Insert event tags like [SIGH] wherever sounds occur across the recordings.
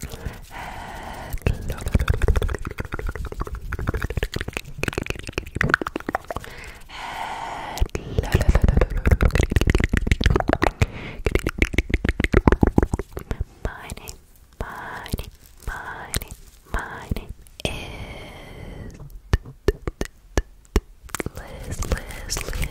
Hello. Hello. My name, my name, my name, my name is Liz,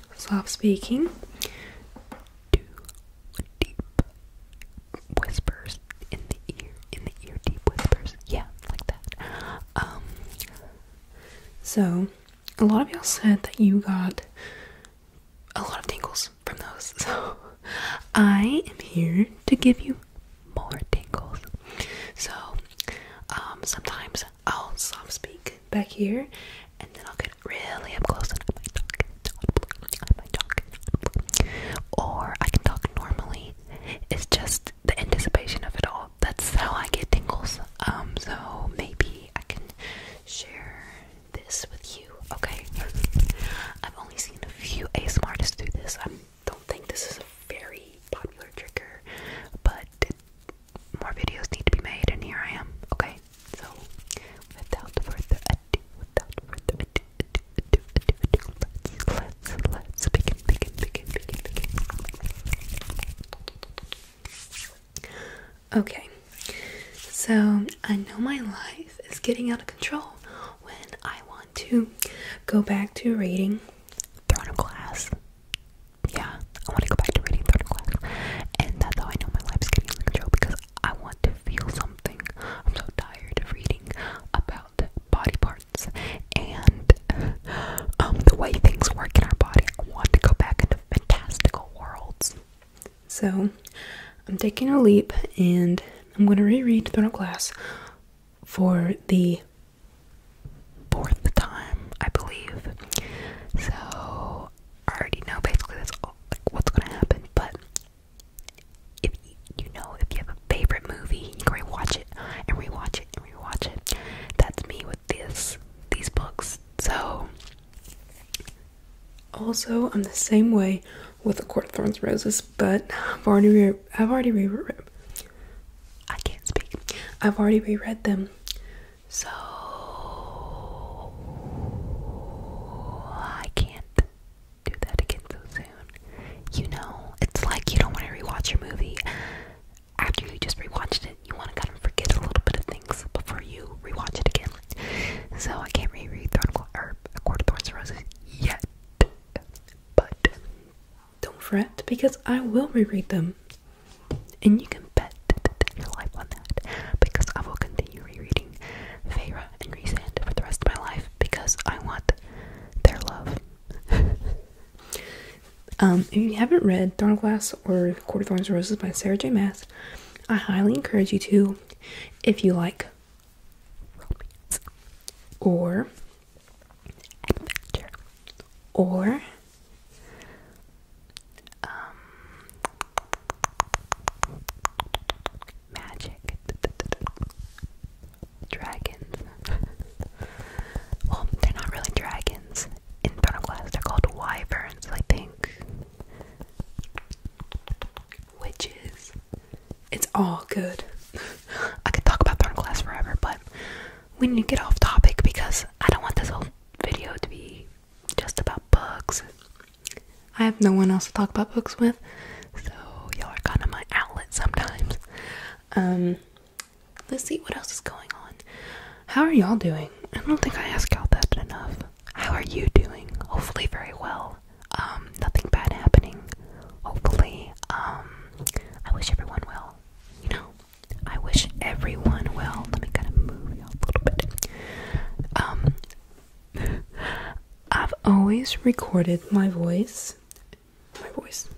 Slav speaking deep whispers in the ear, in the ear, deep whispers. Yeah, like that. Um, so a lot of y'all said that you got a lot of tingles from those. [LAUGHS] So I am here to give you more tingles. So um, sometimes I'll soft speak back here, and then I'll get really up close and I talk. Or I can talk normally. It's just the anticipation of it all. That's how I get tingles. Um, so maybe I can share this with you. Okay. I've only seen a few ASMR artists do this. I don't think this is a very popular trigger, but more videos need to be made, and here I am. Okay, so without further ado, without further ado, ado, ado, ado, ado, ado let's, begin, Okay, so I know my life is getting out of control when I want to go back to reading Throne a Glass yeah, I want to go back to reading third class, and that's how I know my life's getting under control because I want to feel something. I'm so tired of reading about body parts and [LAUGHS] um, the way things work in our body. I want to go back into fantastical worlds. So, I'm taking a leap and I'm going to reread Third Class for the fourth time, I believe. So I already know basically that's all, like what's gonna happen. But if you, know, if you have a favorite movie, you can watch it and rewatch it and rewatch it. That's me with this these books. So also, I'm the same way with *A Court of Thorns Roses*, but I've already re I've already I can't speak. I've already reread them, so I can't do that again so soon. You know, it's like you don't want to rewatch your movie after you just rewatched it. You want to kind of forget a little bit of things before you rewatch it again. So I can't reread Throne or A Court of Thorns and Roses yet. But don't fret because I will re-read them. And you can bet your life on that because I will continue rereading Feyre and Resand for the rest of my life because I want their love. [LAUGHS] um, if you haven't read Glass* or Court of Thorns and Roses by Sarah J. Mass, I highly encourage you to if you like romance or adventure or um, magic, dragons. well, they're not really dragons in Thornoclass. They're called wyverns, I think. Witches. It's all good. [LAUGHS] I could talk about Thornclass forever, but we need to get off topic because I don't want this whole video to be just about books. I have no one else to talk about books with, so y'all are kind of my outlet sometimes. Um, let's see what else is going on. How are y'all doing? I don't think I ask out that enough. How are you doing? Hopefully, very well. Um, nothing bad happening. Hopefully, um, I wish everyone well. You know, I wish everyone well. Let me kind of move a little bit. Um, I've always recorded my voice, my voice,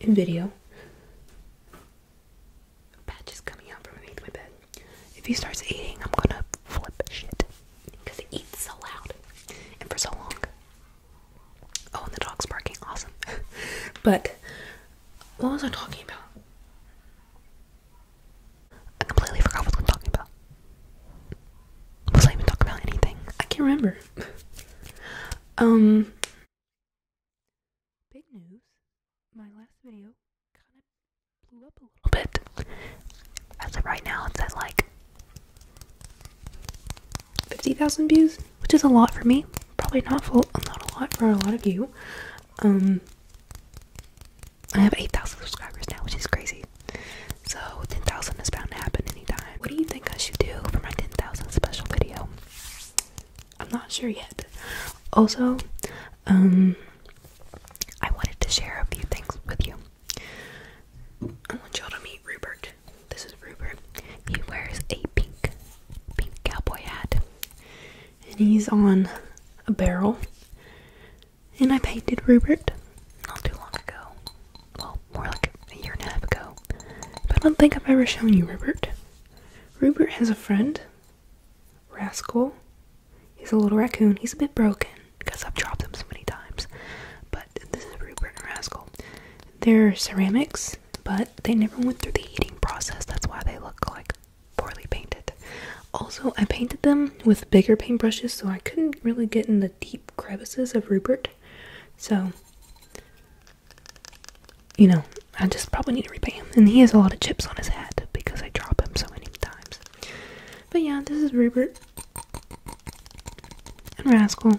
in video. Patch is coming out from underneath my bed. If he starts eating, I'm gonna flip shit because he eats so loud and for so long. Oh, and the dog's barking. Awesome. [LAUGHS] but what was I talking about? I completely forgot what I was talking about. Was I even talking about anything? I can't remember. [LAUGHS] um. Big news. My last video kind of blew up a little bit. As of right now, it's at like 50,000 views, which is a lot for me. Probably not full, not a lot for a lot of you. Um, I have 8,000 subscribers now, which is crazy. So 10,000 is bound to happen anytime. What do you think I should do for my 10,000 special video? I'm not sure yet. Also, um, I wanted to share a few things with you. I want y'all to meet Rupert. This is Rupert. He wears a pink, pink cowboy hat, and he's on a barrel. And I painted Rupert not too long ago. Well, more like a year and a half ago. But I don't think I've ever shown you Rupert. Rupert has a friend, Rascal. He's a little raccoon. He's a bit broken because I've dropped him so many times. But this is Rupert and Rascal. They're ceramics, but they never went through the heating process. That's why they look like poorly painted. Also, I painted them with bigger paintbrushes, so I couldn't really get in the deep crevices of Rupert. So, you know, I just probably need to repaint him. And he has a lot of chips on his head because I drop him so many times. But yeah, this is Rupert and Rascal.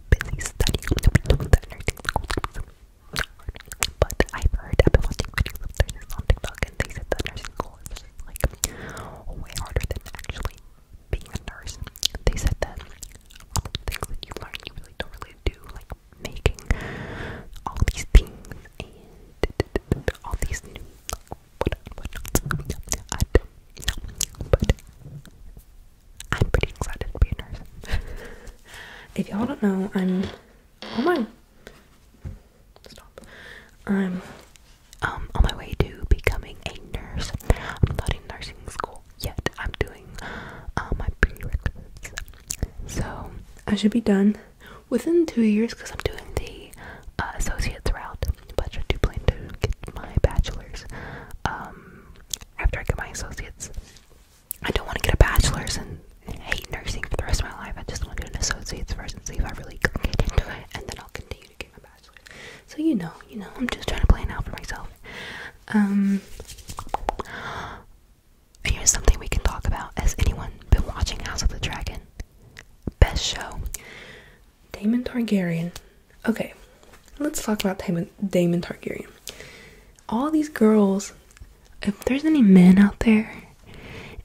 busy studying. nursing school But I've heard, I've been watching videos of nurses on TikTok, and they said that nursing school is like way harder than actually being a nurse. They said that all the things that you learn, you really don't really do, like making all these things and all these new. What, but I'm pretty excited to be a nurse. [LAUGHS] if y'all don't know, I'm on oh my stop. I'm um on my way to becoming a nurse. I'm not in nursing school yet. I'm doing uh, my prerequisites, so I should be done within two years because I'm doing the uh, associate's route. But I am do plan to get my bachelor's um after I get my associates. I don't want to get a bachelor's and hate nursing for the rest of my life. I just want to get an associate's first and see if I really can get into it, and then I'll continue to get my bachelor's. So you know, you know, I'm just trying to plan out for myself. Um, here's something we can talk about. Has anyone been watching House of the Dragon? Best show. Damon Targaryen Okay, let's talk about Damon, Damon Targaryen. All these girls, if there's any men out there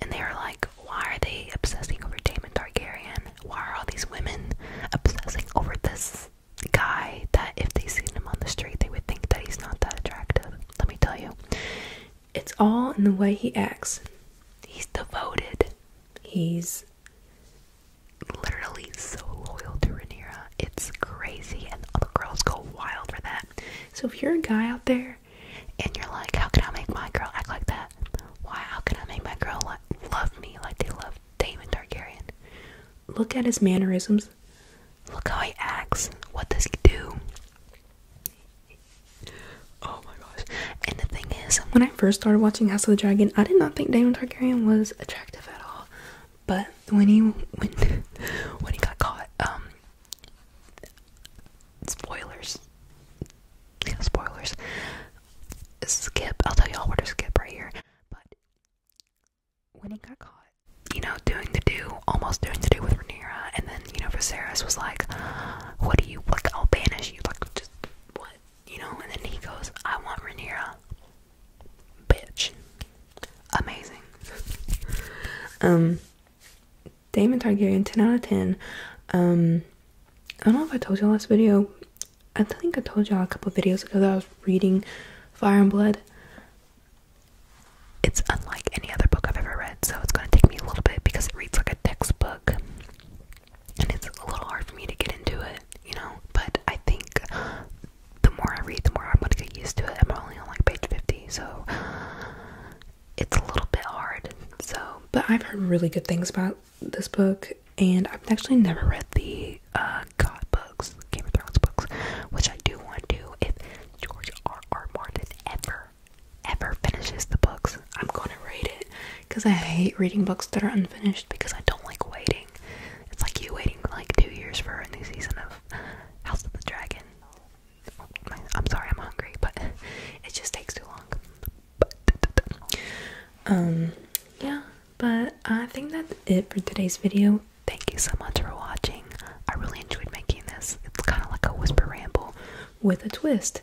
and they're like, why are they obsessing over Damon Targaryen? Why are all these women obsessing over this guy that if they seen him on the street they would think that he's not that attractive? Let me tell you. It's all in the way he acts. He's devoted. He's literally so loyal to Rhaenyra. It's crazy, and other girls go wild for that. So if you're a guy out there and you're like, how can I make my girl act like that? Why? How can I make my girl like, love me like they love Daemon Targaryen? Look at his mannerisms. Look how he acts. What does he do? Oh my gosh. And the thing is, when I first started watching House of the Dragon, I did not think Daemon Targaryen was attractive at all. But when he when [LAUGHS] when he got caught, um, spoilers, spoilers. Skip. I'll tell y'all where to skip right here. But when he got caught, you know, doing the do, almost doing the do with Rhaenyra, and then you know, Viserys was like, "What do you like? I'll banish you." Like, just what? you know, and then he goes, I want Rhaenyra. Bitch. Amazing. um, Damon Targaryen, 10 out of 10. Um, I don't know if I told you last video. I think I told you a couple videos ago that I was reading Fire and Blood. It's unlike any other book I've ever read, so it's going to take me a little bit because it reads like a textbook and it's a little hard for me to get into it, you know. But I think the more I read, the more I'm gonna get used to it. I'm only on like page 50, so it's a little bit hard. So, but I've heard really good things about this book, and I've actually never read the uh, God books, Game of Thrones books, which I do want to. If George R. R. Martin ever, ever finishes the books, I'm gonna read it because [LAUGHS] I hate reading books that are unfinished because I don't like waiting. It's like you waiting like two years for a new season of House of the Dragon. I'm sorry, I'm hungry, but [LAUGHS] it just takes too long. But, um, yeah, but I think that's it for today's video. Thank you so much for watching. I really enjoyed making this. It's kind of like a whisper ramble with a twist